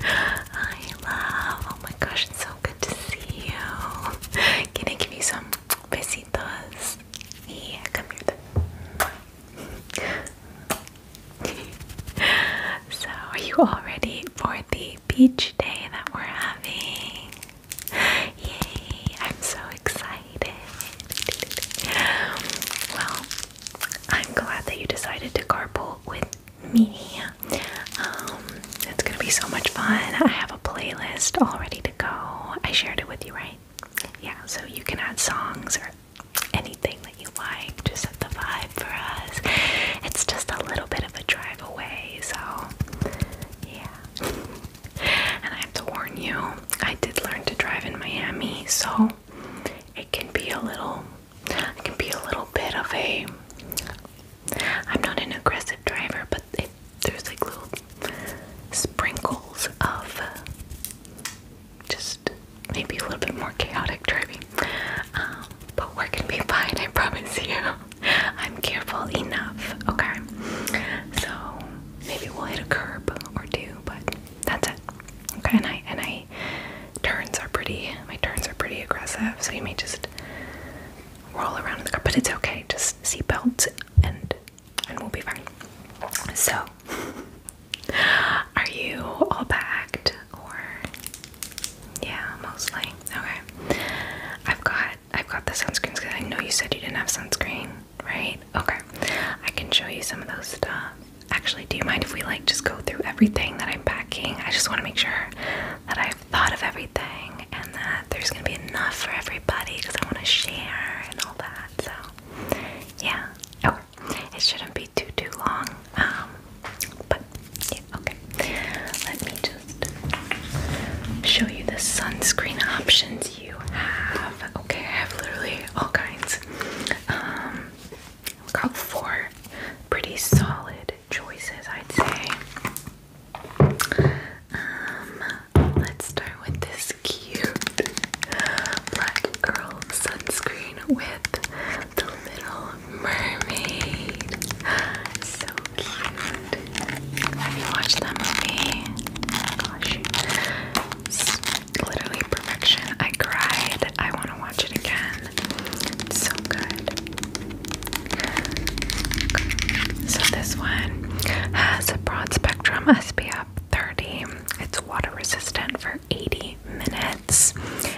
Hi, love. Oh my gosh, it's so good to see you. Can I give you some besitos? Yeah, come here. so, are you all ready for the beach day that we're having? Yay, I'm so excited. Well, I'm glad that you decided to carpool with me. Um, it's gonna be so much fun. I have a playlist all ready to go. I shared it with you, right? Yeah, so you can add songs or anything that you like to set the vibe for us. It's just a little bit of a drive away, so yeah. and I have to warn you, I did learn to drive in Miami, so it can be a little it can be a little bit of a. I'm not an aggressive driver, but there's like little sprinkles of just maybe a little bit more chaotic driving. Um, but we're gonna be fine, I promise you. I'm careful enough, okay? So maybe we'll hit a curb or two, but that's it. Okay, and I and I turns are pretty my turns are pretty aggressive, so you may just roll around in the car, but it's okay. Just seatbelt and and we'll be fine. So, are you all packed or yeah, mostly. Okay. I've got I've got the sunscreens because I know you said you didn't have sunscreen, right? Okay. I can show you some of those stuff. Actually, do you mind if we like just go through everything that I'm packing? I just want to make sure that I've thought of everything and that there's going to be enough for everybody because I want to share and all that. So, yeah. Okay. It shouldn't be too too long. Um, but yeah, okay. Let me just show you the sunscreen options you have. Okay, I have literally all kinds. Um I've got four pretty solid choices, I'd say. Um, let's start with this cute black girl sunscreen with the little mermaid. So cute. Have you watched that movie? Gosh. It's literally perfection. I cried. I want to watch it again. so good. So this one has a broad spectrum SPF 30. It's water resistant for 80 minutes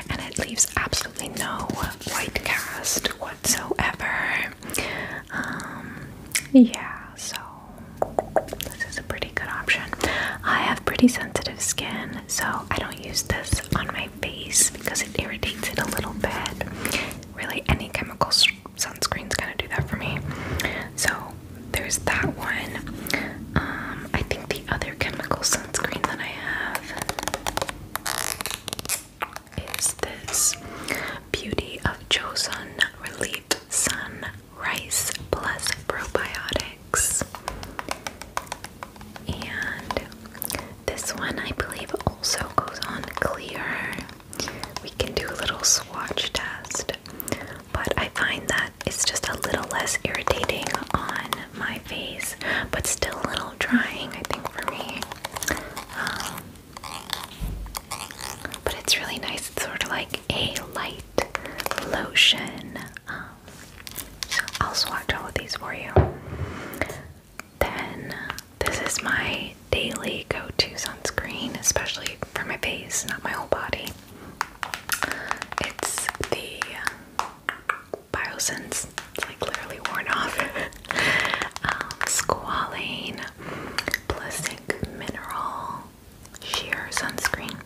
and it leaves absolutely no white cast whatsoever. Um, yeah, so this is a pretty good option. I have pretty sensitive skin, so I don't use this on my my face because it irritates it a little bit. Really, any chemical sunscreens kind of do that for me. So there's that one. Um, I think the other chemical sunscreen that I have is this Beauty of Joseon Relief Sun Rice Plus Probiotics. And this one, I believe, also goes on clear. We can do a little swatch test, but I find that it's just a little less irritating on my face, but still a little drying, I think, for me. Um, but it's really nice. It's sort of like a light lotion um, so I'll swatch all of these for you. Then this is my daily go-to sunscreen, especially for my face, not my whole body. It's the Biosense. It's like literally worn off. um, squalane, Plastic Mineral Sheer Sunscreen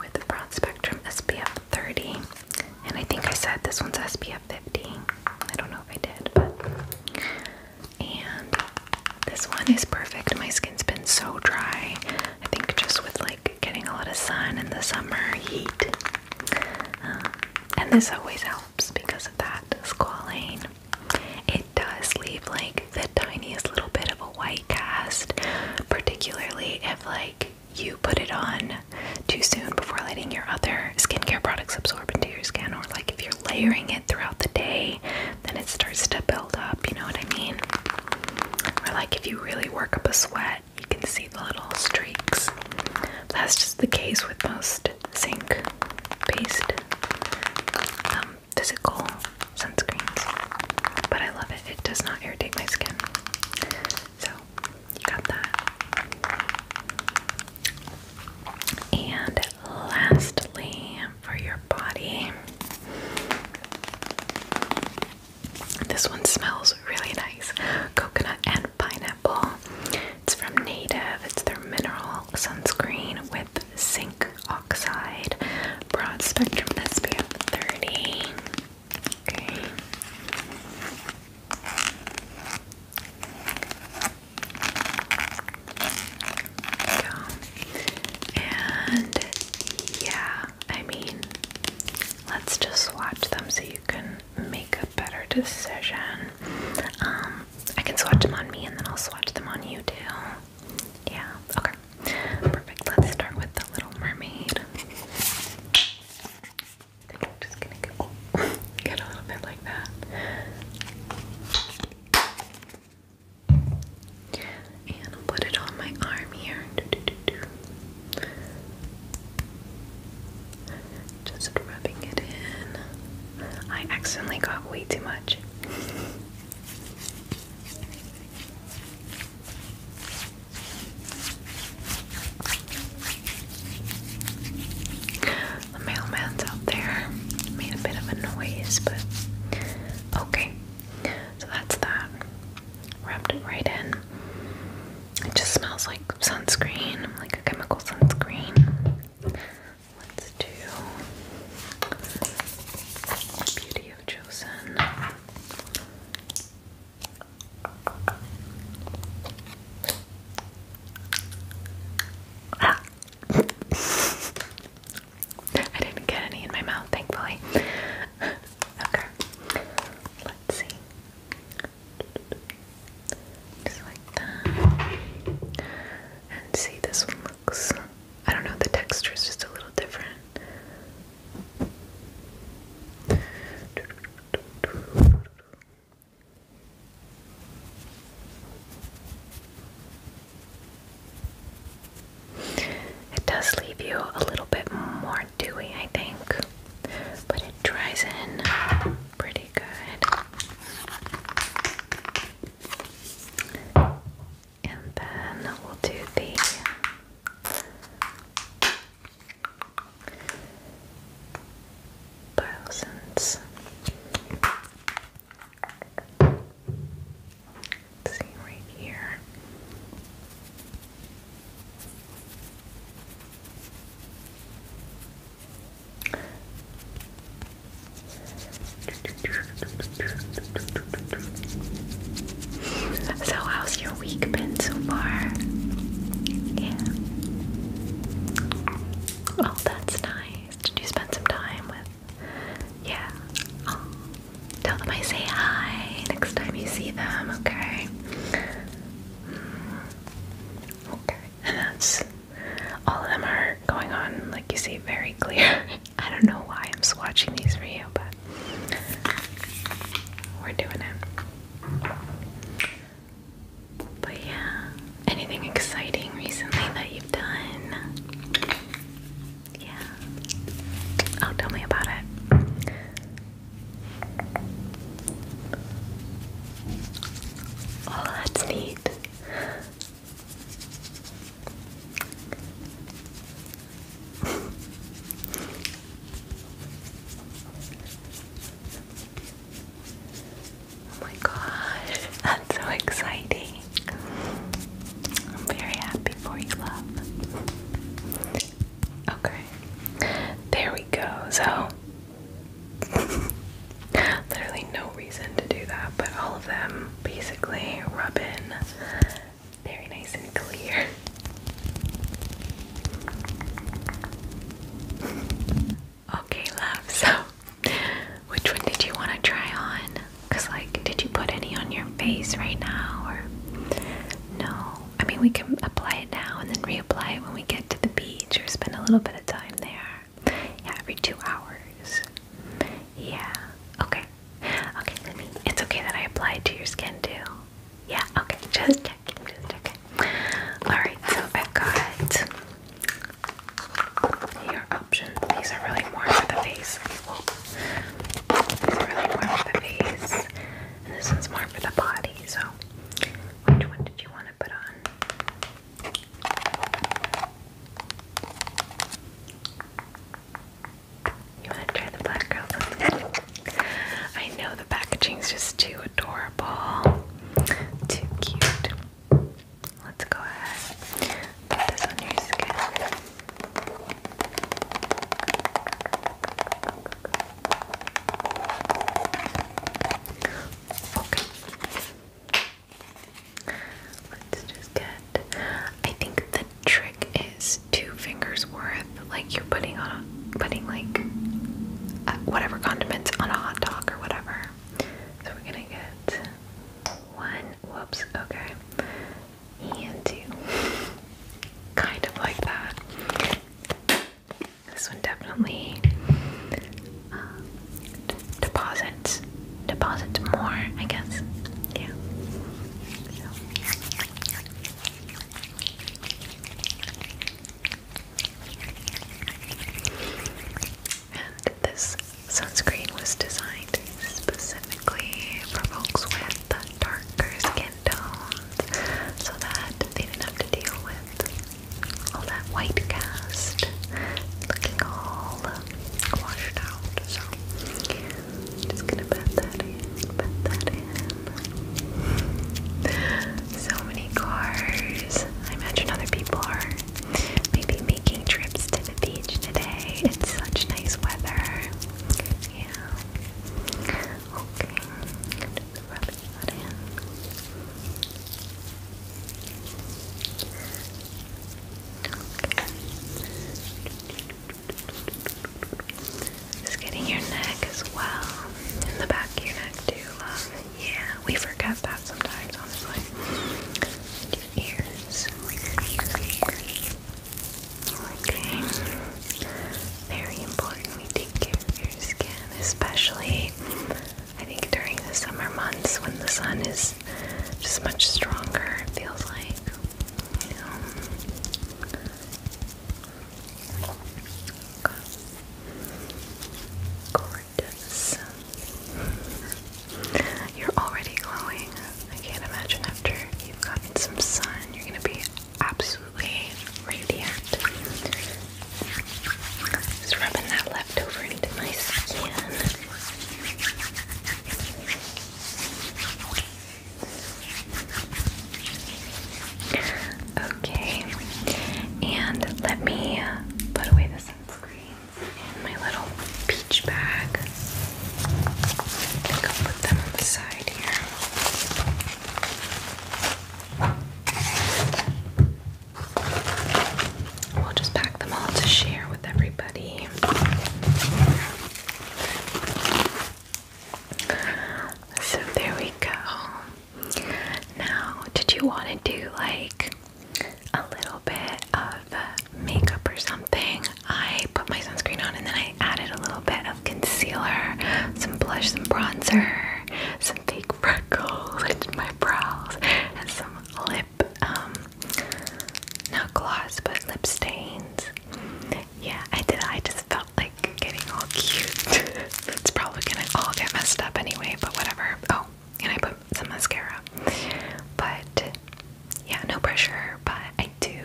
with the broad spectrum SPF 30. And I think I said this one's SPF 50. I don't know if I did, but. And this one is perfect. My skin's been so dry. I think just with like getting a lot of sun in the summer heat. Um, and this always helps because of that squalane. It does leave like the tiniest little bit of a white cast, particularly if like you put it on too soon before letting your other skincare products absorb into your skin, or like if you're layering it throughout the day, then it starts to build up, you know what I mean? Or like if you really work up a sweat, you can see the little streaks. That's just the case with most zinc based um, physical sunscreens, but I love it, it does not irritate my skin. So, you got that. And lastly, for your body, this one smells really nice coconut and pineapple. It's from Native, it's their mineral sunscreen with zinc oxide broad spectrum SPF 30. Okay. And yeah, I mean, let's just swatch them so you can make a better decision. Um, I can swatch them on me and then I'll swatch them on you too. Yeah, okay. Perfect. Let's start with the Little Mermaid. I get a little bit like that. And I'll put it on my arm here. Just rubbing it in. I accidentally got way too much. The mailman's out there. Made a bit of a noise, but okay. So that's that. Wrapped it right in. It just smells like sunscreen, like a chemical sunscreen. Let's do Beauty of Chosen. Ah. I didn't get any in my mouth, thankfully. okay, let's see. Just like that. And see, this one looks. I don't know, the texture is just a little different. It does leave you a little bit more dewy, I think, but it dries in pretty good. And then we'll do the thousands. see right here. So, how's your week been so far? Yeah. Oh, that's nice. Did you spend some time with? Yeah. tell them I say hi next time you see them. Okay. Mm. Okay. And that's all of them are going on, like you see, very clear. I don't know why I'm swatching these for you, but we're doing it. But yeah, anything exciting recently that you've done? Yeah. Oh, tell me about it. Oh, that's neat. Oh my gosh, that's so exciting. I'm very happy for you, love. Okay, there we go. So, literally no reason to do that, but all of them basically rub in very nice and clear okay, love. So, which one did you want to try on? Cause like, did you put any on your face right now, or no? I mean, we can apply it now and then reapply it when we get to the beach or spend a little bit of time there. Yeah, every two hours. Yeah. Okay. Okay. Let me. It's okay that I applied to your skin too. Yeah, okay, just checking, just checking. Alright, so I've got your options. These are really more for the face. These are really more for the face. And this one's more for the body, so which one did you want to put on? You want to try the black girl? I know the packaging's just too adorable, too cute. Let's go ahead put this on your skin. Okay. Let's just get. I think the trick is two fingers worth like you're putting on putting like uh, whatever condiments on a hot dog or whatever. So we're gonna get one. Whoops. Okay. And two. kind of like that. This one definitely um, deposits deposits more, I guess. Yeah. And this sunscreen was designed specifically for folks with darker skin tones so that they didn't have to deal with all that white cast looking all um, washed out. So, just gonna pat that in, pat that in so many cars. I imagine other people are maybe making trips to the beach today. It's such nice weather. Yeah. Okay. Just getting your neck as well. In the back of your neck too, Yeah, we forget that sometimes, honestly. your ears. Okay. Very important we take care of your skin, especially I think during the summer months when the sun is just much stronger, it feels like. Gorgeous. You're already glowing. I can't imagine after you've gotten some sun, you're gonna be absolutely radiant. Just rubbing that leftover into my skin. Okay, and let me put away the sunscreens in my little peach bag. I think I'll put them on here. We'll just pack them all to share with everybody. So there we go. Now, did you want to do like a little bit of makeup or something? I put my sunscreen on and then I added a little bit of concealer, some blush, some bronzer, some fake freckles into my brows, and some lip, um, not gloss, but lip stains. Yeah, I did. I just felt like getting all cute. it's probably gonna all get messed up anyway, but whatever. Oh, and I put some mascara. But yeah, no pressure, but I do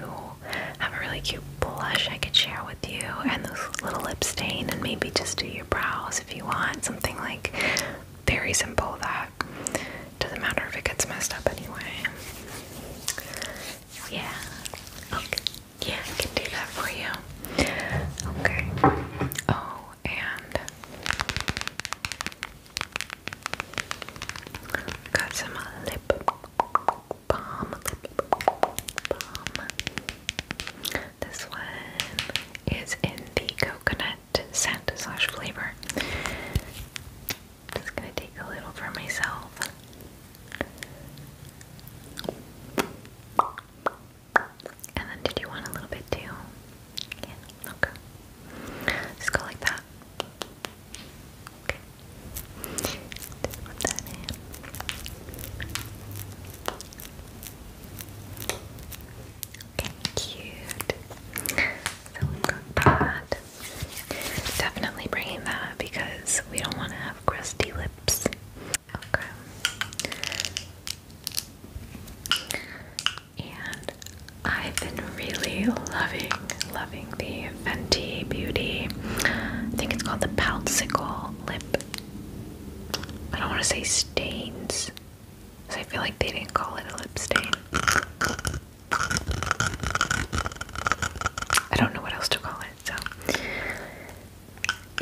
have a really cute blush I could share with you and this little lip stain and maybe just do your brows if you want. Something like very simple that doesn't matter if it gets messed up anyway. Yeah. Okay. Yeah, I can do that for you. Okay. Oh, and got some lip balm. This one is in the coconut scent slash flavor. Just gonna take a little for myself. And then did you want a little bit too? Yeah, okay. Just go like that. Okay. Okay, cute. So we got that. Definitely bringing that because we don't want to have crusty lips. Okay. And I've been really loving, loving the Fenty Beauty. I think it's called the Pouncicle Lip. I don't want to say stains, because I feel like they didn't call it a lip stain. I don't know what else to call it. So,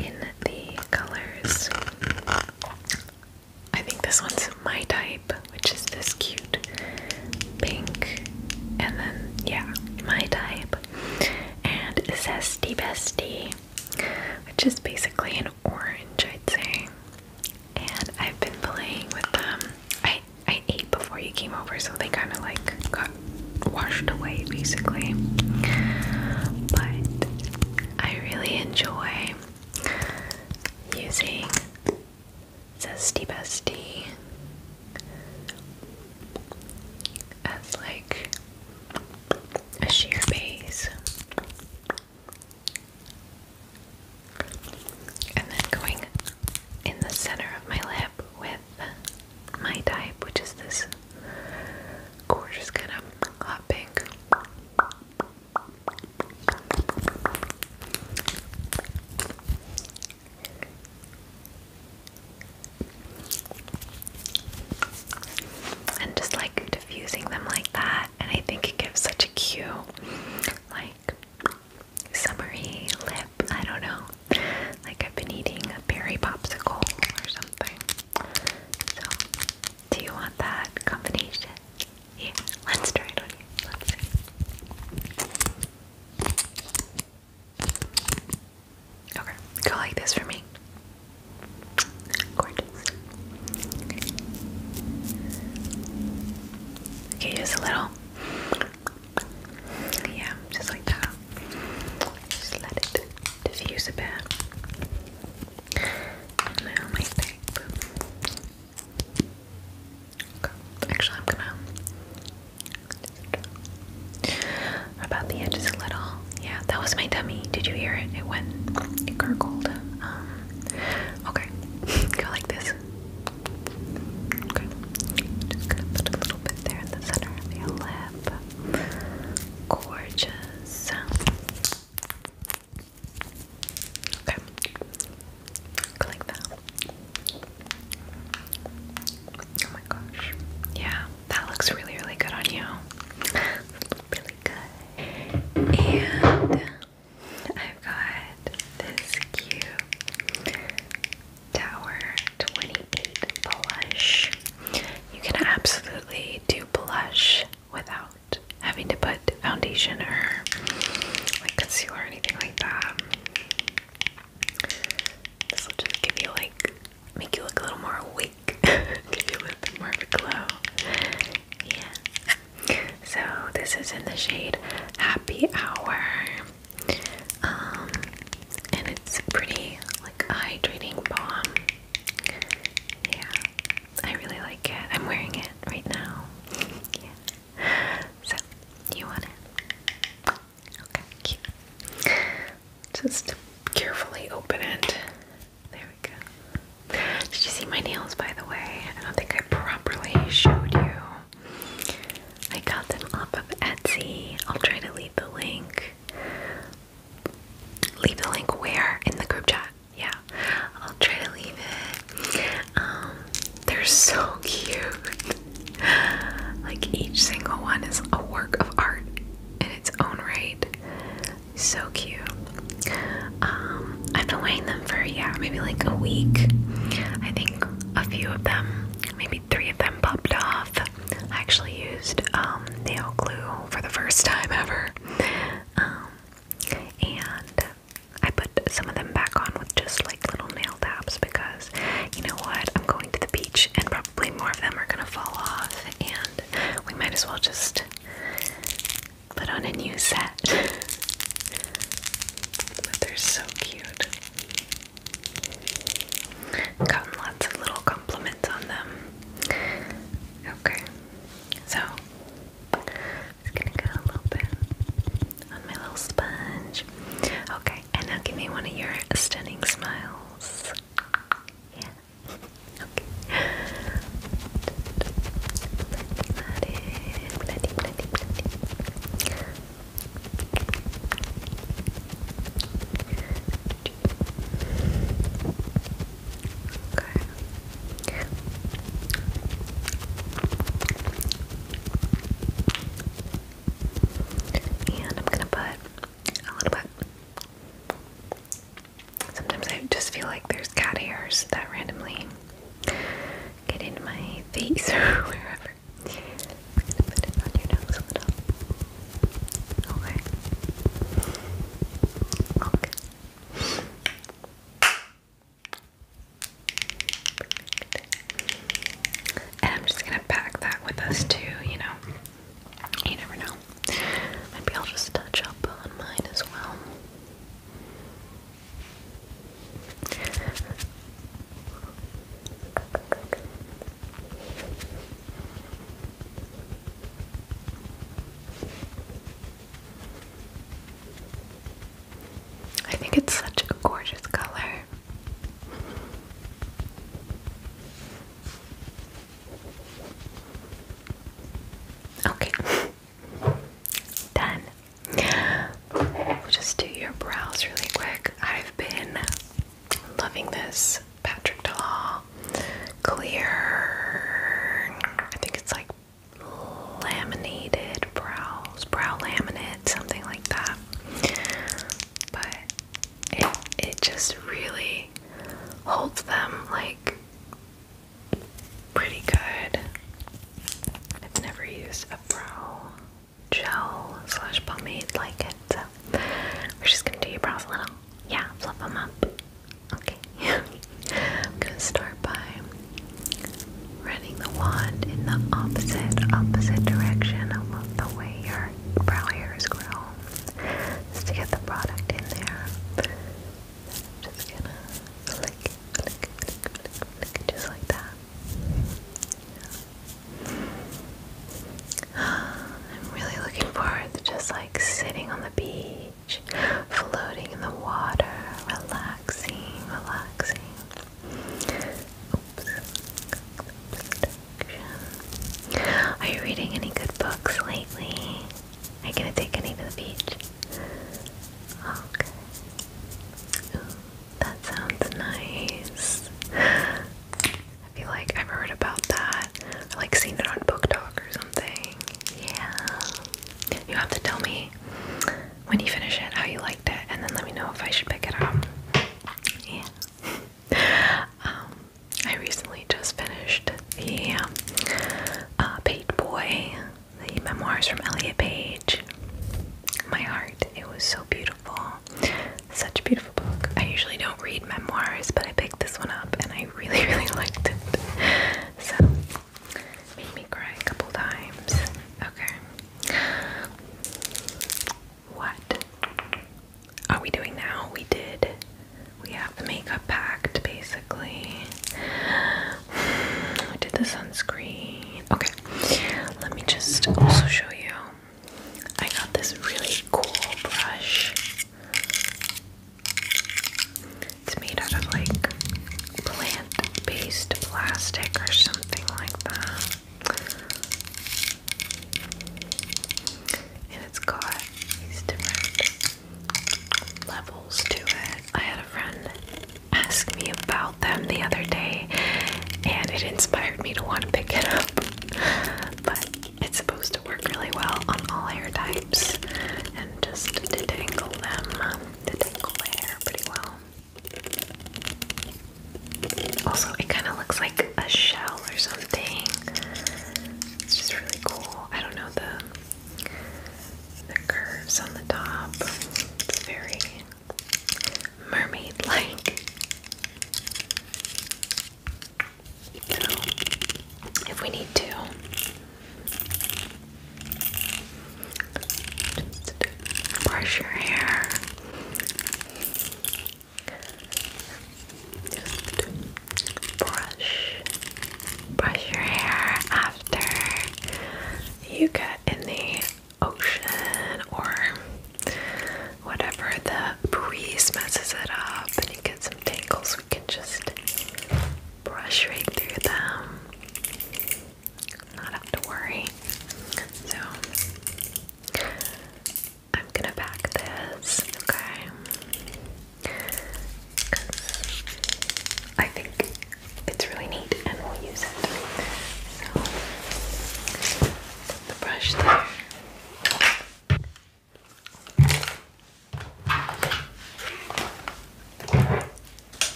in the colors, I think this one's my type, which is this cute pink, and then, yeah, my type, and Zesty Bestie, which is basically an orange, I'd say. And I've been playing with them. I I ate before you came over, so they kind of like got washed away basically. But I really enjoy using Zesty Bestie as like a sheer base. And then going in the center of my lip with my type, which is this gorgeous kind of hot pink. And just like diffusing them like that, and I think it gives such a cute, like, summery lip. I don't know. Like I've been eating a berry popsicle or something. So, do you want that combination? Yeah, let's try it on you. Okay, go like this for me. Okay, just a little. Yeah, just like that. Just let it diffuse a bit. And now my tape. Okay. Actually, I'm gonna. About the edges a little. Yeah, that was my dummy. Did you hear it? It went, it gurgled. Um, okay, go like this. Okay, just gonna put a little bit there in the center of your lip. Gorgeous. Okay. Click that. Oh my gosh. Yeah, that looks really, really good on you. really good. And I've got this cute Tower 28 blush. You can absolutely do blush without having to put foundation or like concealer or anything like that. This will just give you like make you look a little more awake, give you a little bit more of a glow. Yeah. So this is in the shade Happy Hour. Um, and it's pretty like hydrating balm. Yeah, I really like it. I'm wearing it right now. yeah. So, you want it? Okay, cute. Just carefully open it. There we go. Did you see my nails, by the way? I don't think I properly showed you. I got them off of Etsy. I'll try to leave the link Leave the link where in the group chat. Yeah, I'll try to leave it. Um, they're so cute. like each single one is a work of art in its own right. So cute. Um, I've been wearing them for yeah, maybe like a week. I think a few of them, maybe three of them popped off. I actually used um, nail glue for the first time ever. Um, and I put some of them back on with just like little nail taps because you know what? I'm going to the beach and probably more of them are gonna fall off, and we might as well just put on a new set. but they're so cute. Gotten lots of little compliments on them. Okay, so i gonna get a little bit on my little sponge. Okay, and now give me one of your stunning smiles. Yeah. okay. Okay. And I'm gonna put a little bit. Sometimes I just feel like there's cat hairs that randomly get in my face or wherever. put it on your nose a little. Okay. Okay. And I'm just gonna pack that with us too, you know. You never know. Maybe I'll just touch up on mine as well. I think it's such a gorgeous color. Okay, done. We'll just do your brows really quick. I've been Loving this Patrick Dahl clear. I think it's like laminated brows, brow laminate, something like that. But it it just really holds them like pretty good. I've never used a brow gel slash pomade like it, so we're just gonna do your brows a little. Yeah, fluff them up. Okay. I'm gonna start by running the wand in the opposite, opposite direction of the way your brow hairs grow. Just to get the product in there. just gonna flick, flick, flick, flick, flick, just like that. Yeah. I'm really looking forward to just like sitting on the beach, floating in the water, relaxing, relaxing. Oops. Are you reading any good books lately? Are you going take any to the beach? Okay. that sounds nice. I feel like I've heard about that. I like seen it on Book Talk or something. Yeah. You have to tell me when you finish it how you liked it, and then let me know if I should pick it up. Yeah. um, I recently just finished the uh, uh, Page Boy, the memoirs from Elliot Page. My heart, it was so beautiful. Such beautiful I usually don't read memoirs, but I picked this one up and I really, really liked it. So, made me cry a couple times. Okay. What are we doing now? We did. We have the makeup packed basically. We did the sunscreen. Okay. Let me just also show you. I got this really cool brush. It's made out of like plant based plastic or something like that. And it's got these different levels to it. I had a friend ask me about them the other day, and it inspired me to want to pick it up. But it's supposed to work really well on all hair types and just detangle them, detangle um, hair pretty well. Also, it kind of looks like a shell or something. It's just really cool. I don't know the the curves on the top. It's very mermaid-like if we need to. brush your hair. Just brush, brush your hair after you get in the ocean or whatever. The breeze messes it up, and you get some tangles. We just brush right through them, not have to worry. So, I'm gonna back this, okay? Because I think it's really neat and we'll use it. So, the brush there.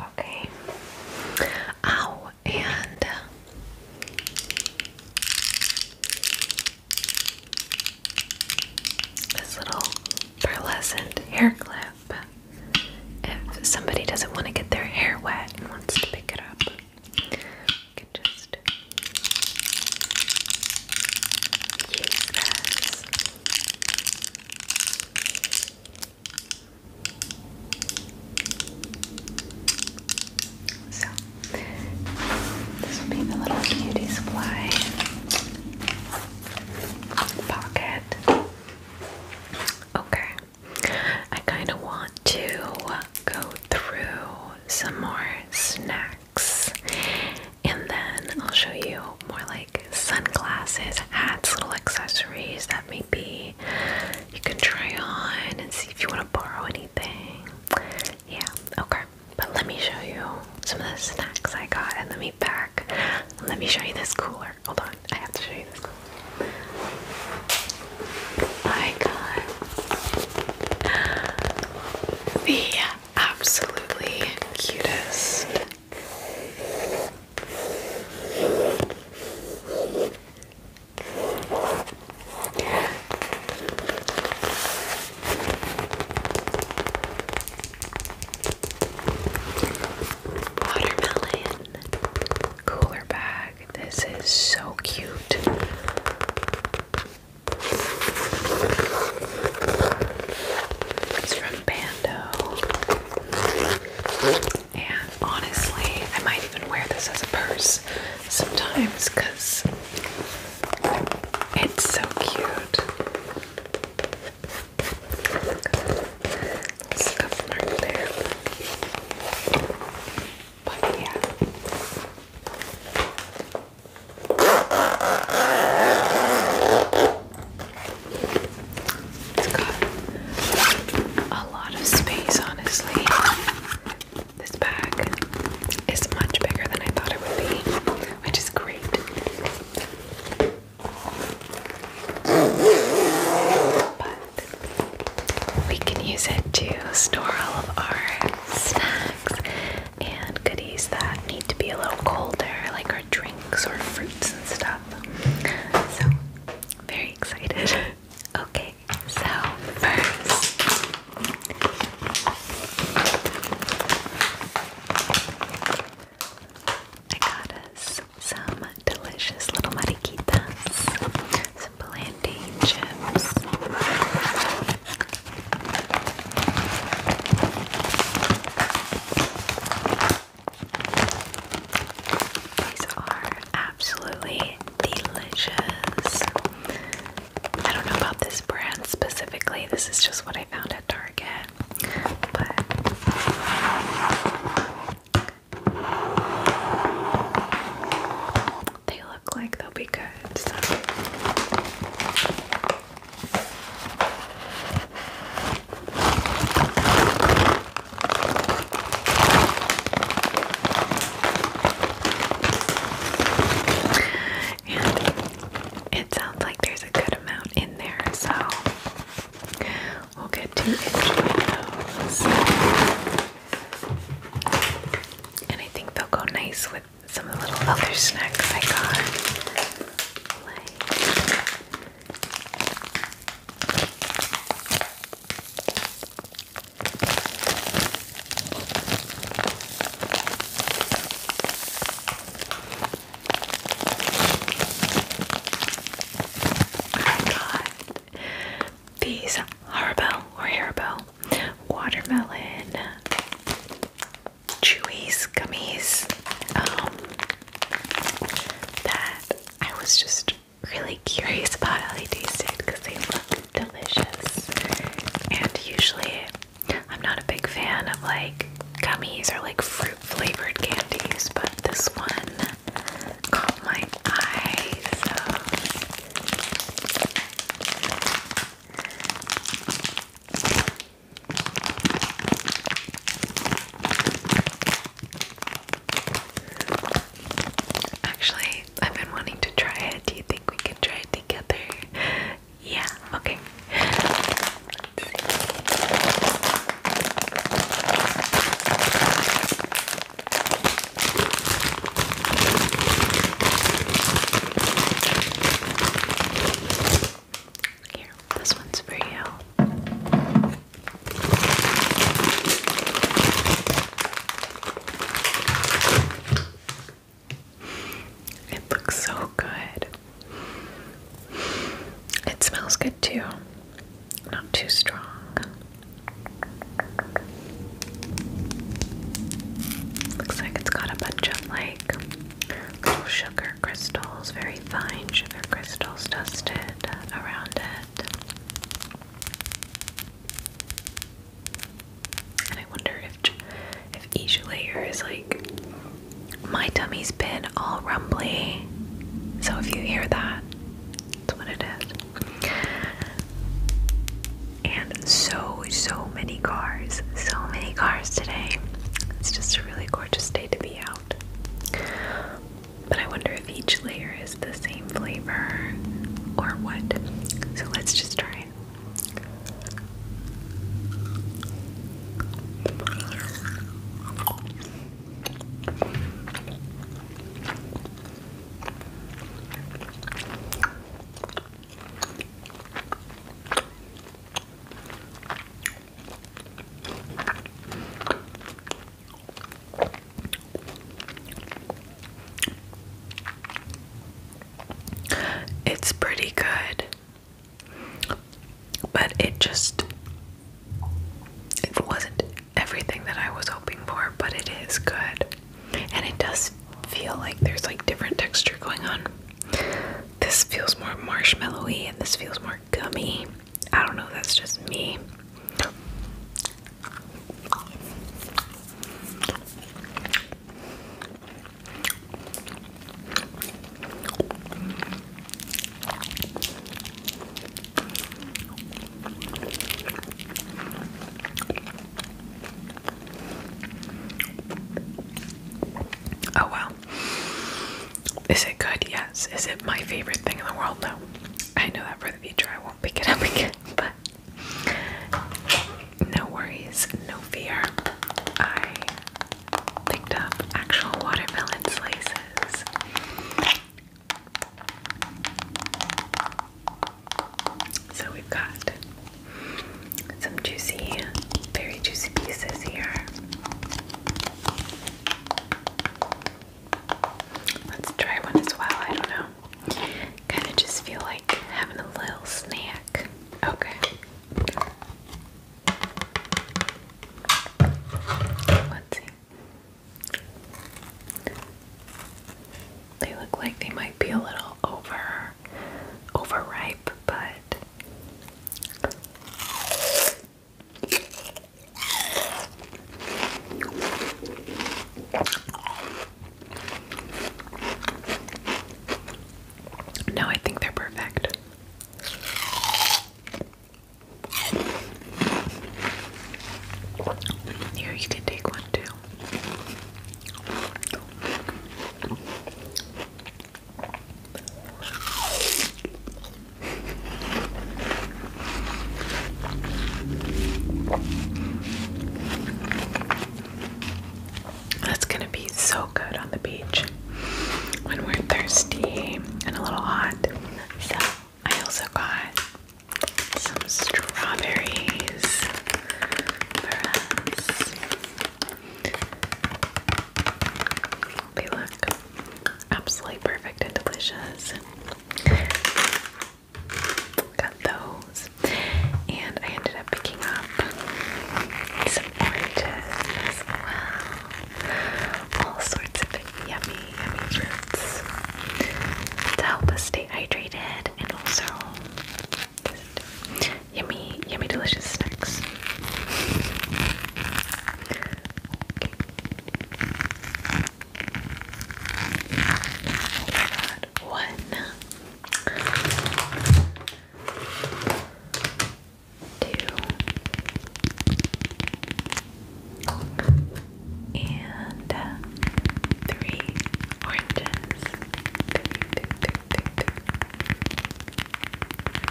Okay. Ow, and uh, this little pearlescent hair clip. If somebody doesn't want to get their hair wet and wants to pick it up, we can just use this. So, this will be the little beauty supply pocket. Okay, I kind of want to go through some more snacks. And then I'll show you more like sunglasses, hats, little accessories that maybe you can try on and see if you want to borrow anything. Yeah, okay. But let me show you some of the snacks I got and let me pack. Let me show you this cooler. Hold on, I have to show you this cooler. I got the absolutely cutest watermelon cooler bag. This is so cute. It's from Bando. And honestly, I might even wear this as a purse sometimes because it's so cute. Stuff right there. But yeah. It's got a lot of space, honestly. This bag is much bigger than I thought it would be, which is great. But we can use it to store all of our snacks and goodies that need to be a little colder, like our drinks or fruits and stuff. So, very excited. okay, so first. I got us some delicious little mariquitas, some plantain chips, these are absolutely delicious. I don't know about this brand specifically, this is just what I found at Target they look like they'll be good. So. And it sounds like there's a good amount in there, so we'll get to enjoy those. And I think they'll go nice with some of the little other snacks I got. I got these Haribo or Haribo watermelon, chewies, gummies, um, that I was just really curious about how they tasted because they look delicious. And usually, I'm not a big fan of like gummies or like fruit flavored candies, but this one caught my eye. Actually, I've been wanting to try it. Do you think we can try it together? Yeah, okay. Here, this one's for you. It looks so good. It smells good too. Not too strong. Looks like it's got a bunch of like little sugar crystals, very fine sugar crystals dusted around it. And I wonder if if each layer is like my tummy's been all rumbly. So if you hear that, that's what it is and so so many cars so many cars today it's just a really gorgeous day to be out but i wonder if each layer is the same flavor or what so let's just try it it's pretty good, but it just it wasn't everything that I was hoping for, but it is good and it does feel like there's like different texture going on. This feels more marshmallowy, and this feels more gummy. I don't know, that's just me. Oh well. Is it good? Yes. Is it my favorite thing in the world? No. I know that for the future I won't pick it up again, but no worries, no fear. I picked up actual watermelon slices. So we've got some juicy, very juicy pieces here. Let's try one as well. I don't know. Kind of just feel like having a little snack. Okay. Let's see. They look like they might be a little over overripe, but no, I think they're perfect. Here, you can take one too. That's gonna be so good on the beach when we're thirsty and a little hot. So, I also got some strawberries for us. They look absolutely perfect and delicious. Got those. And I ended up picking up some oranges as well. All sorts of yummy, yummy fruits to help us stay hydrated and also yummy, yummy, delicious snacks. One. Two and three oranges.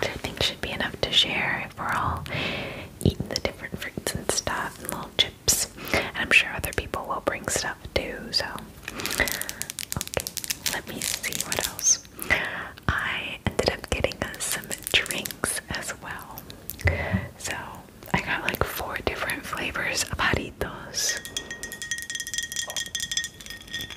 I think should be enough to share if we're all eating the different fruits and stuff and little chips. And I'm sure other people will bring stuff too, so. Okay, let me see what else. I ended up getting some drinks as well. So I got like four different flavors of Haritos.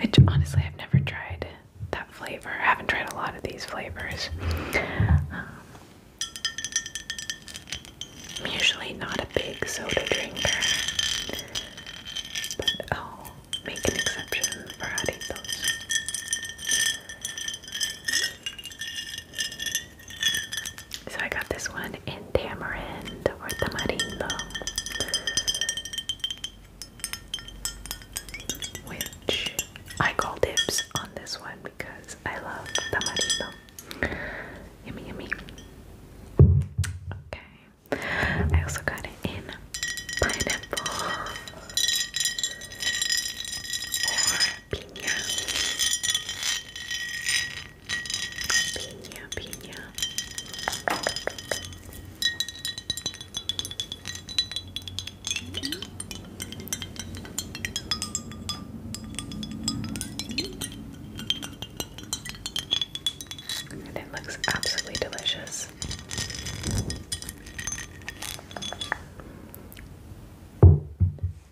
Which honestly, I've never tried that flavor. haven't tried a lot of these flavors. Um, I'm usually not a big soda drinker, but I'll make an exception for those. So I got this one in tamarind or tamarindo which I call dips on this one because I love tamarindo. Yummy yummy. Okay. I also got it in pineapple or pina. Pina, And mm-hmm. it looks absolutely delicious.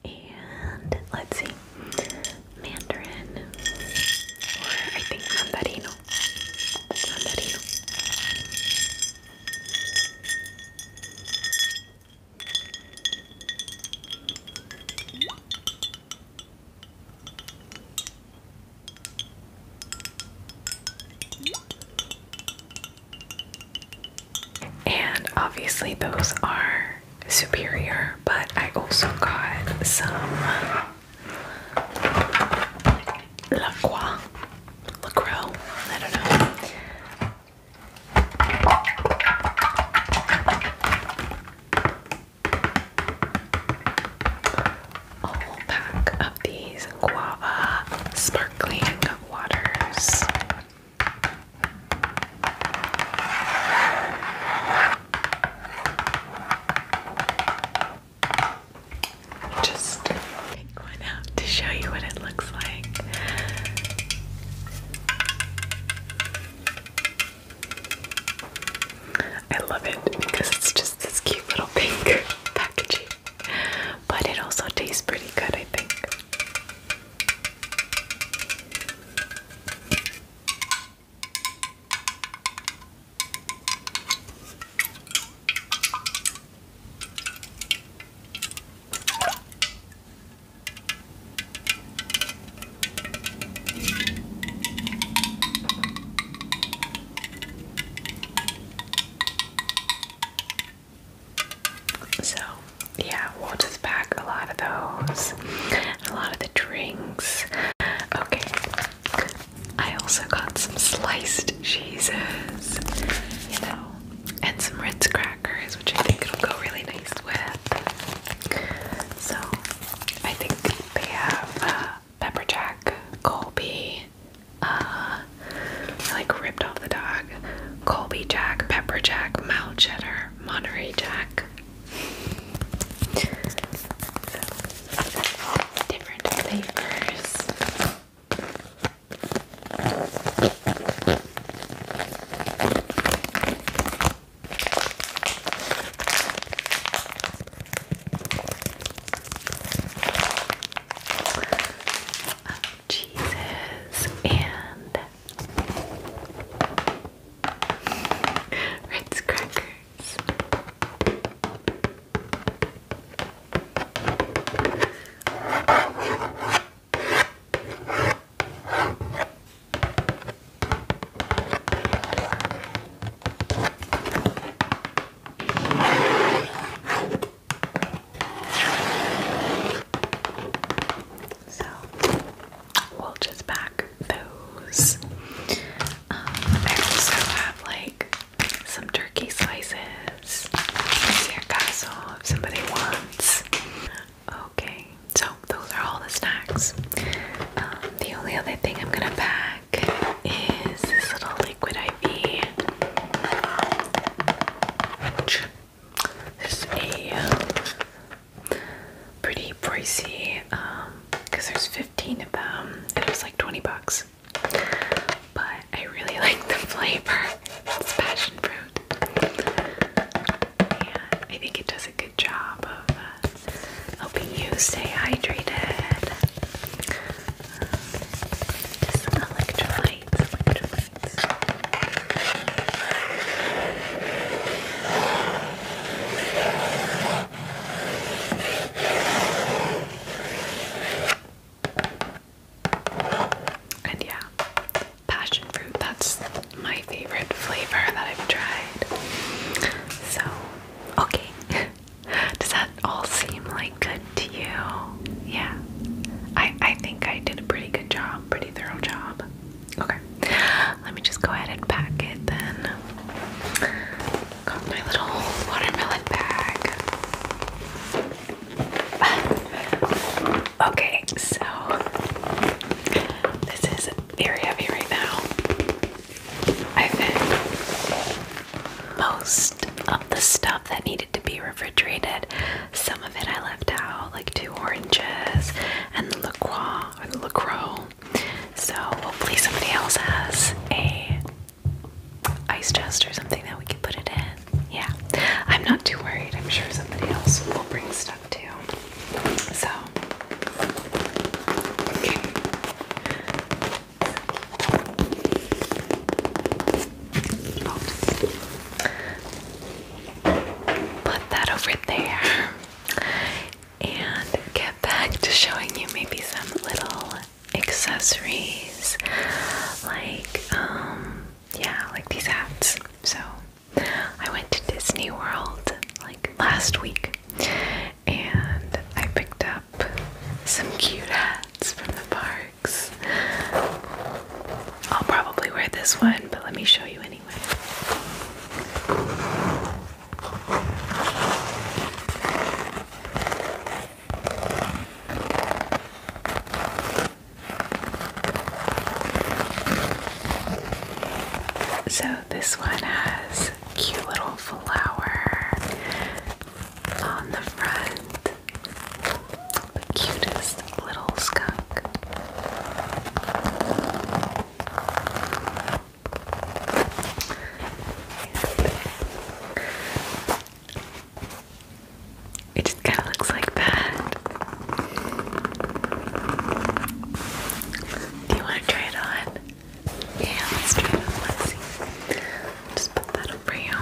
And let's see, Mandarin, or I think Mandarino. And obviously, those are superior, but I also got some La Croix, La Croix, I don't know. A pack of these guava sparkling waters. Just pick one out to show you what it looks like. I love it because it's just this cute little pink packaging, but it also tastes pretty good, I think. So, yeah, we'll just pack a lot of those. A lot of drinks. Okay. I also got some sliced cheeses, you know, and some Ritz crackers, which I think it'll go really nice with. So I think they have uh, pepper jack, Colby, uh, like ripped off the dog, Colby jack, pepper jack, mild cheddar, Monterey jack, different flavors. Of cheeses and Ritz crackers. So we'll just pack those. Um, I also have like some turkey slices, casserole if somebody wants. Okay, so those are all the snacks. Um, the only other thing I'm gonna pack is this little liquid IV. This is a pretty pricey because um, there's 15 of them and it was like 20 bucks. But I really like the flavor. It's passion fruit. And I think it does a good job of uh, helping you stay hydrated. electrolytes. And yeah, passion fruit, that's my favorite flavor that I've tried. So, okay. Does that all seem like good to you? Yeah. I I think I did a pretty good job, pretty thorough job. Okay, let me just go ahead and pack it then. Got my little watermelon bag. okay, so this is very heavy right now. I've been most of the stuff that needed to be refrigerated. Some of it I left out, like two oranges and the LaCroix or the LaCroix so hopefully somebody else has a ice chest or something that we can put it in. Yeah. I'm not too worried. I'm sure somebody else will bring stuff too. So okay. put that over there and get back to showing you maybe some little accessories like um, yeah like these hats so I went to Disney World like last week and I picked up some cute hats from the parks I'll probably wear this one but let me show you anyway so, this one has cute little flower on the front. cutest little skunk. It just kind of looks like that. Do you want to try it on? Yeah, let's try it on. Let's see. Just put that over you.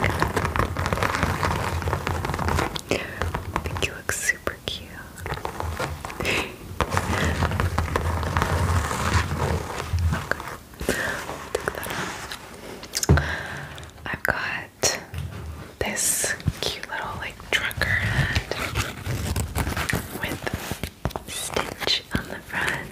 I think, you look super cute. I've got this cute little like trucker hat with stitch on the front.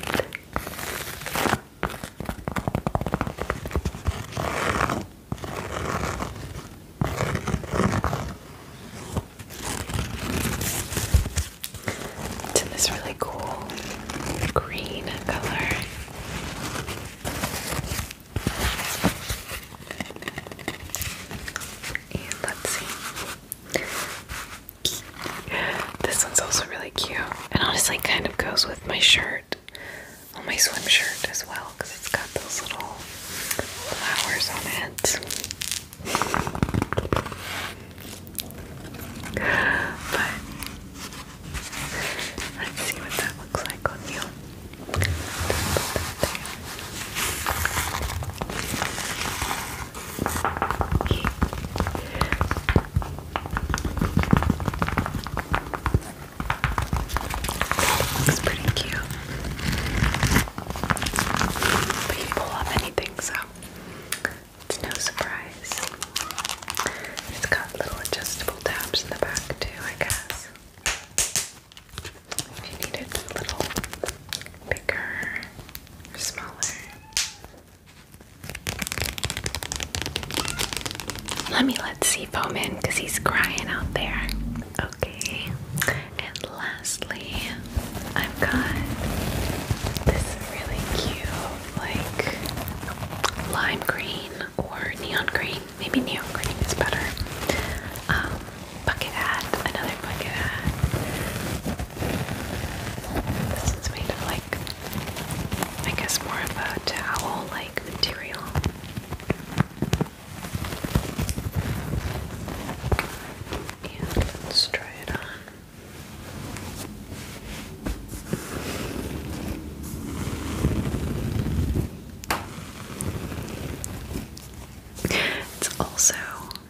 It's in this really cool green color. And let's see. This one's also really cute. And honestly kind of goes with my shirt. On my swim shirt as well because it's got those little flowers on it. But let's see what that looks like on you. Okay. pretty cute. We can pull up anything, so it's no surprise. It's got little adjustable tabs in the back, too, I guess. If you need it little bigger or smaller. Let me let see foam in because he's crying out there. Okay, and lastly, I've got this really cute, like lime green or neon green. Maybe neon green is better. Um, bucket hat, another bucket hat. This one's made of like, I guess more of a towel like material let's try it on. It's also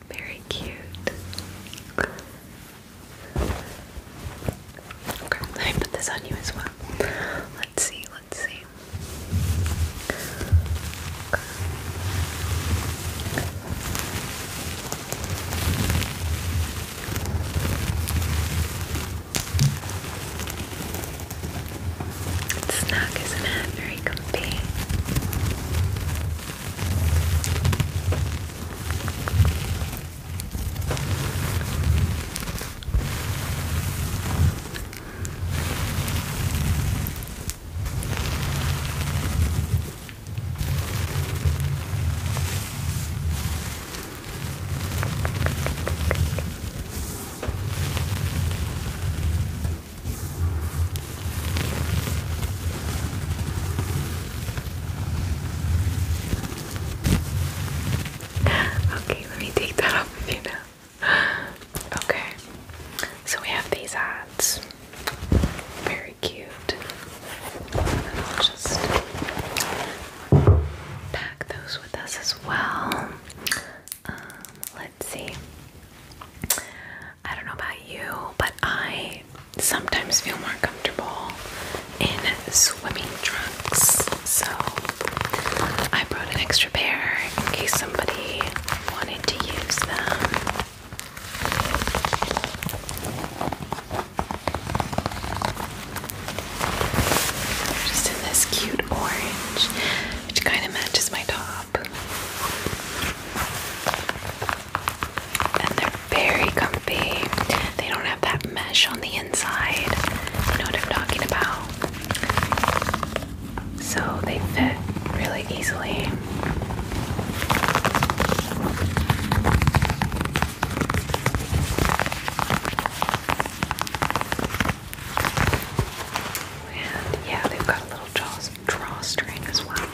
very cute. Okay, let me put this on you as well. Let's see, let's see. snug, isn't Very comfy. Okay, let me take that off of you now. okay, so we have these hats. Very cute. And I'll just pack those with us as well. Um, let's see. I don't know about you, but I sometimes feel more comfortable in swimming trunks. So I brought an extra in case somebody wanted to use them. just in this cute orange, which kind of matches my top. And they're very comfy. They don't have that mesh on the inside. You know what I'm talking about so they fit really easily. And yeah, they've got a little drawstring as well.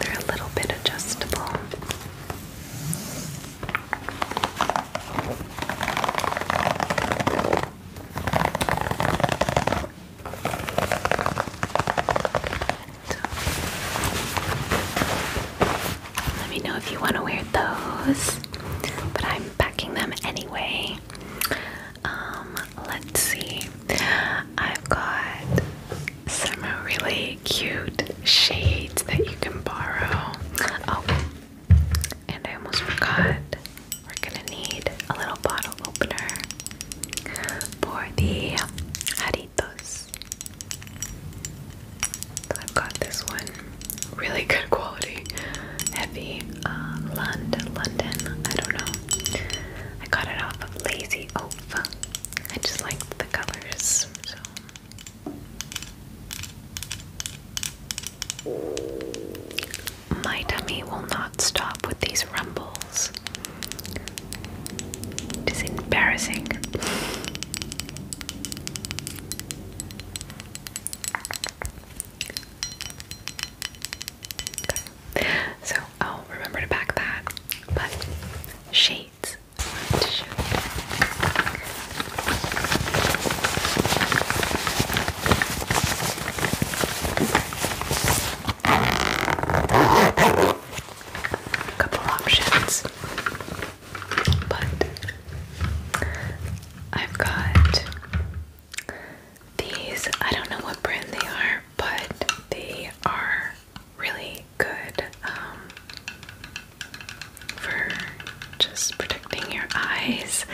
They're a little bit adjustable. Let me know if you want to wear those, but I'm packing them anyway. Um, let's see. I've got some really cute shades that you can borrow. Oh, and I almost forgot, we're gonna need a little bottle opener for the Haritos. I've got this one, really good quality, heavy, uh, Lund, London, I don't know. I got it off of Lazy Oaf. I just liked the colors, my tummy will not stop with these rumbles. It is embarrassing. So I'll remember to back that. But shades couple options, but I've got these. I don't know what brand they are, but they are really good um, for just protecting your eyes.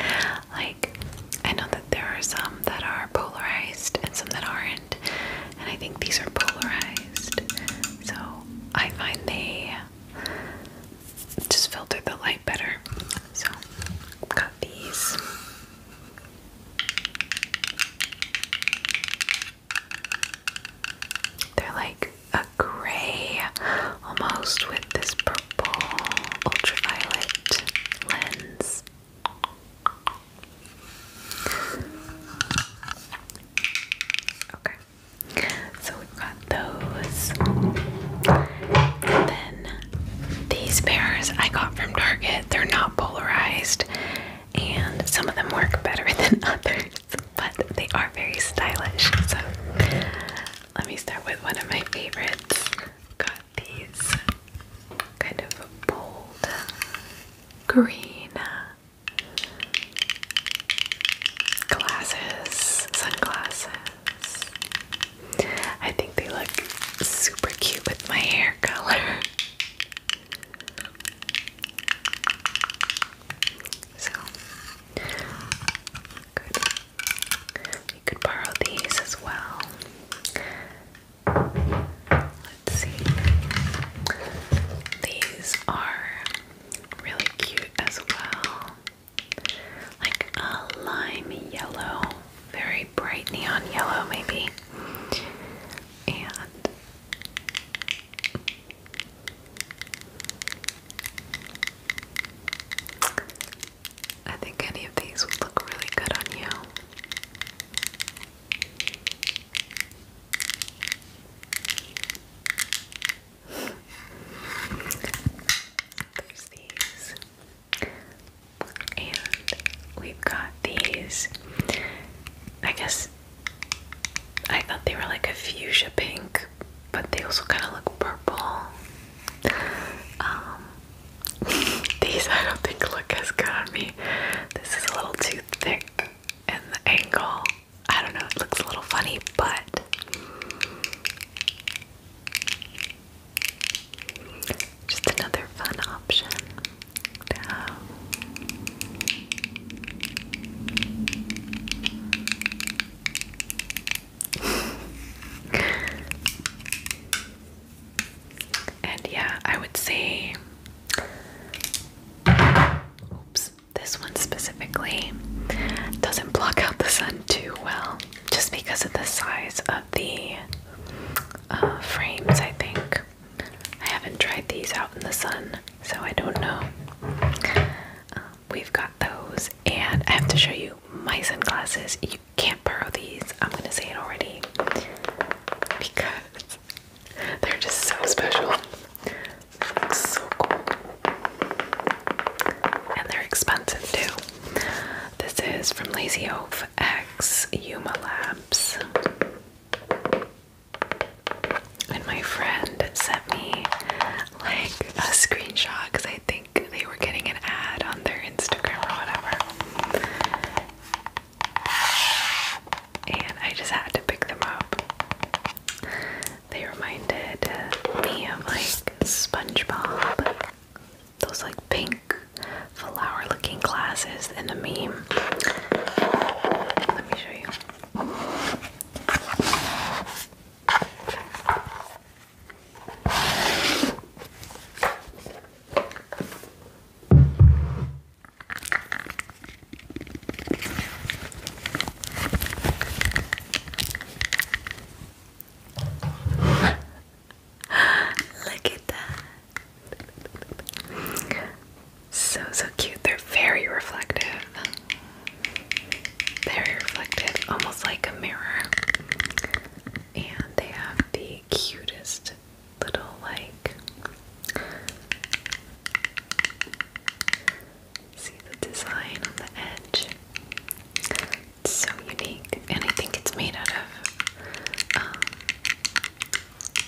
Like, I know that there are some that are polarized and some that aren't, and I think these are polarized. So I find they just filter the light better. So, got these. They're like a gray almost with this purple ultraviolet lens. Okay, so we've got those. then these pairs I got from Target, they're not polarized, and some of them work better than others, but they are very stylish. So let me start with one of my favorites these kind of bold green glasses, sunglasses. I think they look super cute with my hair color. So, good. You could borrow these as well. Let's see. These are really cute as well. Like a lime yellow, very bright neon yellow, maybe. And I think any of these would look really good on you. There's these. And we've got these. I guess I thought they were like a fuchsia pink, but they also kind of look purple. Um, these I don't think look as good on me. This is a little too thick and the angle. I don't know, it looks a little funny, but just another fun option to And yeah, I would say, oops, this one specifically doesn't block out the sun too well, just because of the size of the uh, frames, I think. I haven't tried these out in the sun, so I don't know. Um, we've got those, and I have to show you my sunglasses can't borrow these. I'm gonna say it already because they're just so special. So cool. And they're expensive too. This is from Lazy Oaf X Yuma Labs. And my friend sent me like a screenshot because I I think they were getting an ad on their Instagram or whatever. And I just had to pick them up. They reminded me of like SpongeBob. Those like pink flower looking glasses in the meme. Let me show you. Look at that. So, so cute. They're very reflective. Very reflective, almost like a mirror and they have the cutest little like see the design on the edge. It's so unique, and I think it's made out of um,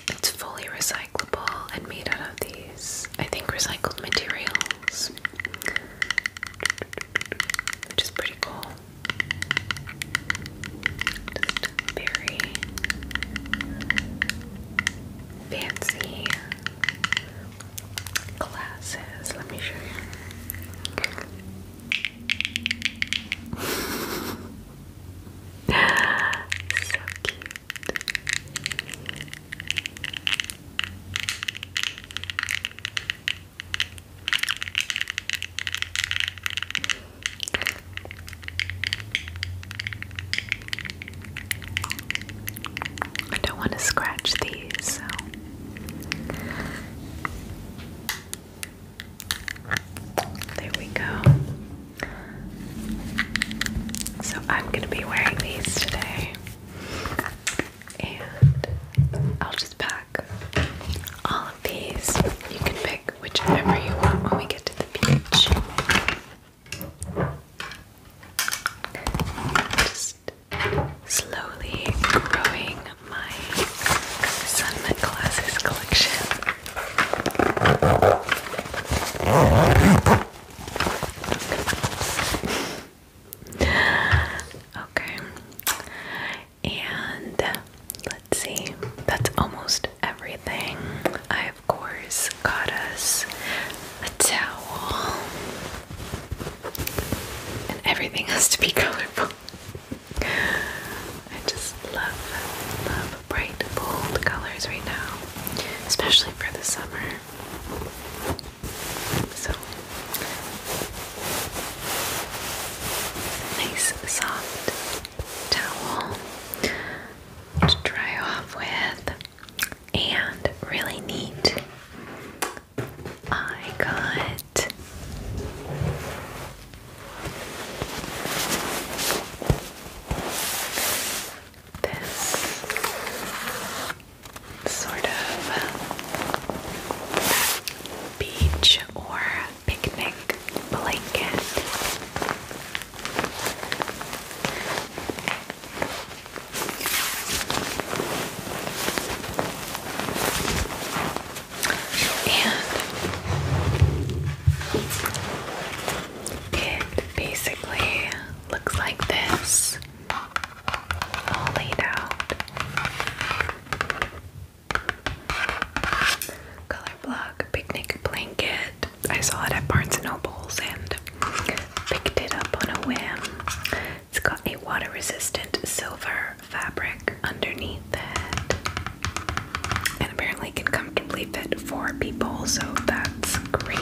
it's fully recyclable and made out of these, I think, recycled materials which is pretty cool. very fancy glasses. Let me show you. so cute. I don't want to scratch these, so there we go. So I'm going to be wearing these today. And I'll just pack all of these, you can pick whichever you want when we get to the beach. Just slowly growing my sunlight collection. Okay. And let's see, that's almost everything. I, of course, got us a towel. And everything has to be colorful. I just love, love bright, bold colors right now, especially for the summer. So Nice soft towel to dry off with, and really neat. I got this sort of uh, beach or picnic blanket. And it basically looks like this all laid out. Color block, picnic blanket. I saw it at Barnes and Noble's and picked it up on a whim. It's got a water resistant silver fabric underneath it. And apparently can comfortably fit four people, so that's great.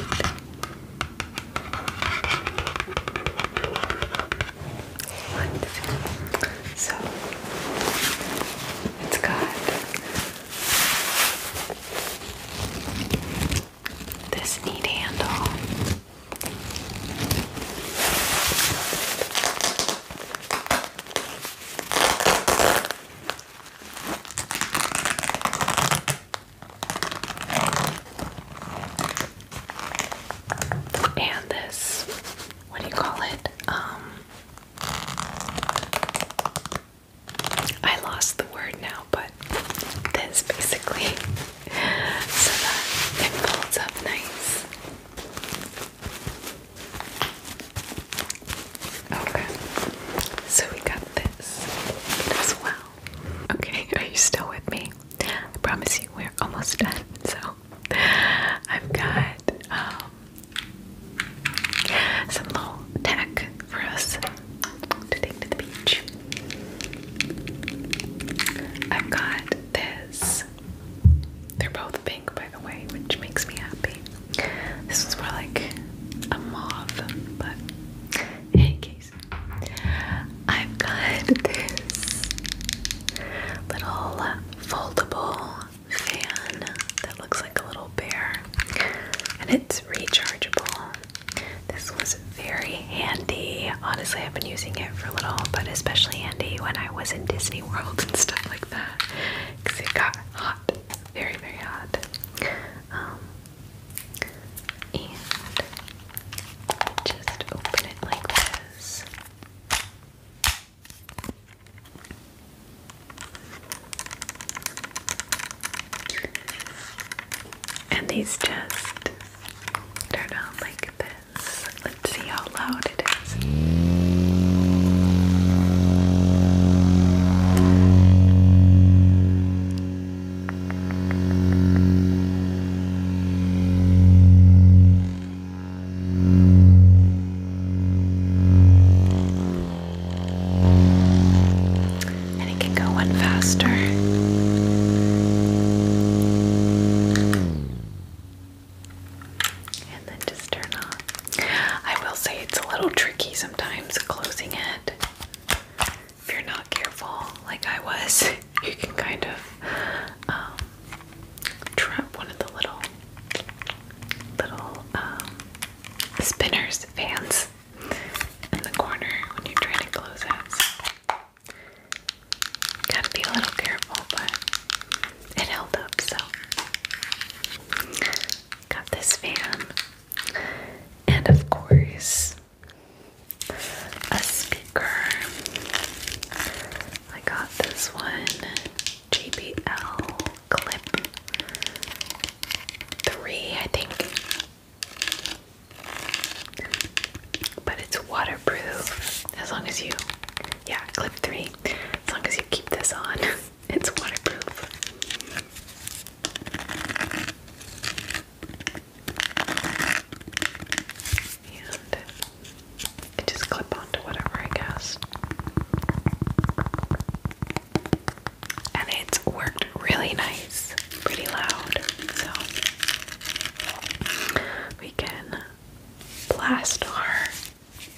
Wonderful. So it's got this neat handle. And this what do you call it? Um, I lost the word now, but this basically so that it folds up nice. Okay, so we got this as well. Okay, are you still with me? I promise you, we're almost done. So I've got um, some little tack for us to take to the beach. I've got this. They're both pink, by the way, which makes me happy. This one's more like a mauve, but in any I've got this little foldable fan that looks like a little bear, and it's rechargeable. This was very handy. Honestly, I've been using it for a little, but especially handy when I was in Disney World and stuff like that because it got hot, very, very hot. Um, and just open it like this. And these just turn on like this. Let's see how loud it is. And it can go one faster. And then just turn off. I will say it's a little tricky sometimes closing it. If you're not careful, like I was, you can kind of um, trap one of the little little um, spinners fans in the corner when you're trying to close it. So, gotta be a little careful, but it held up. So got this fan, and of course a speaker I got this one JBL Clip 3, I think. But it's waterproof as long as you, yeah, Clip 3. As long as you keep this on, it's waterproof and I just clip onto whatever, I guess. And it's worked really nice, pretty loud, so we can blast our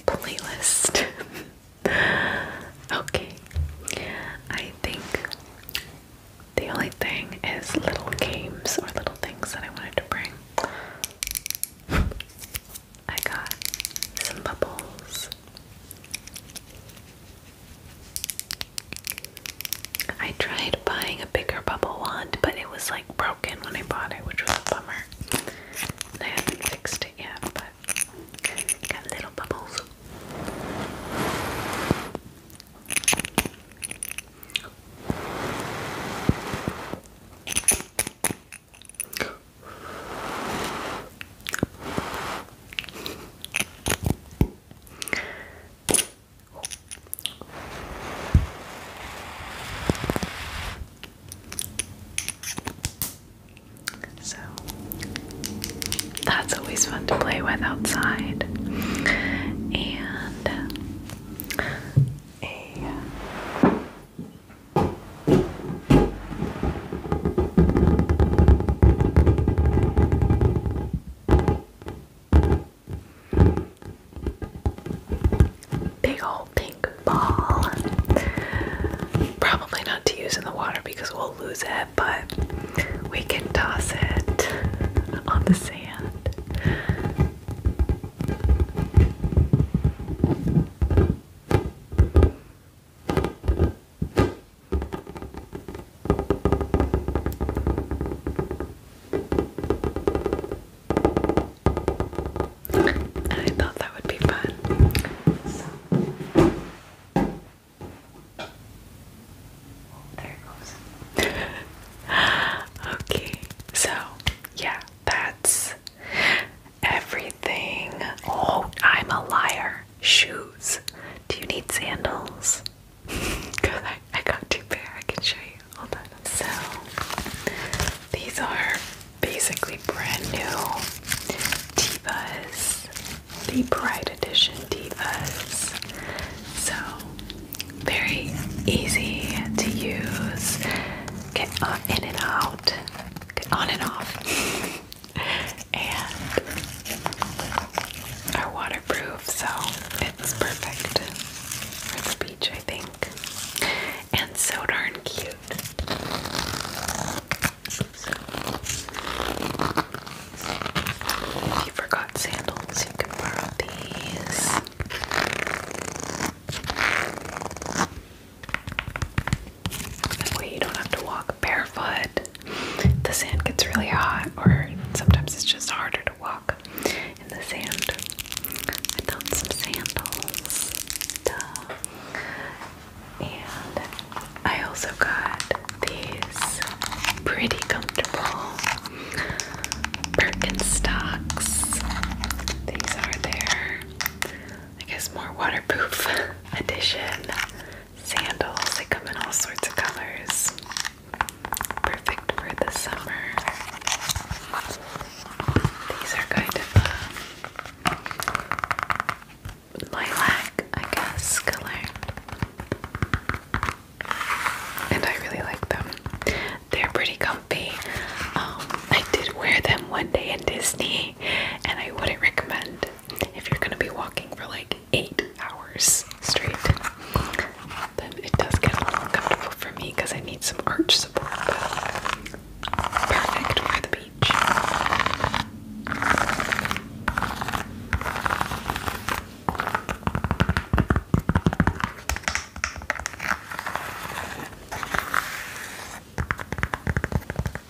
playlist. okay, I think the only thing is little games or little things that I wanted to bring. I got some bubbles. I tried buying a bigger bubble wand, but it was like broken when I bought it, which was a bummer. And I haven't fixed it yet, but got little bubbles. So that's always fun to play with outside. And a Big old pink ball. Probably not to use in the water because we'll lose it, but we can toss it on the sand. I thought that would be fun. there goes. okay, so yeah, that's everything. Oh, I'm a liar. Shoes. Do you need sandals? Cause I, I got two pair. I can show you. Hold on. So these are basically brand new Divas, the bright Edition Divas. So very easy to use get on, in and out, on and off, and are waterproof, so it's perfect for the beach, I think. And so darn cute. If you forgot sandals, you can borrow these. That way you don't have to walk barefoot. The sand gets really hot, or sometimes it's just harder to walk in the sand. I found some sandals. Duh. And I also got these pretty comfortable Birkenstocks. These are their, I guess, more waterproof edition sandals. They come in all sorts of colors. Perfect for the summer. These are kind of lilac, I guess, color. And I really like them. They're pretty comfy. Um, I did wear them one day in Disney, and I wouldn't recommend if you're gonna be walking for like eight hours straight. Then it does get a little uncomfortable for me because I need some arch support. But perfect for the beach.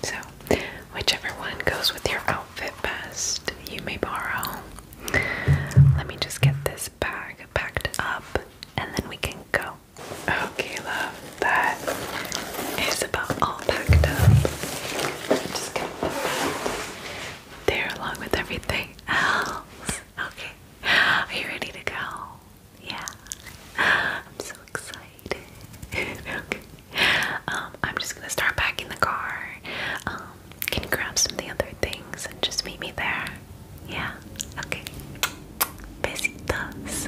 So, whichever one goes with your outfit best, you may borrow. Let me just get this bag packed up and then we can go. Okay, love, that is about all packed up. just going there along with everything else. Okay, are you ready to go? Yeah. I'm so excited. okay. Um, I'm just gonna start packing the car. Um, can you grab some of the other things and just meet me there? Yeah. Okay. Besitos.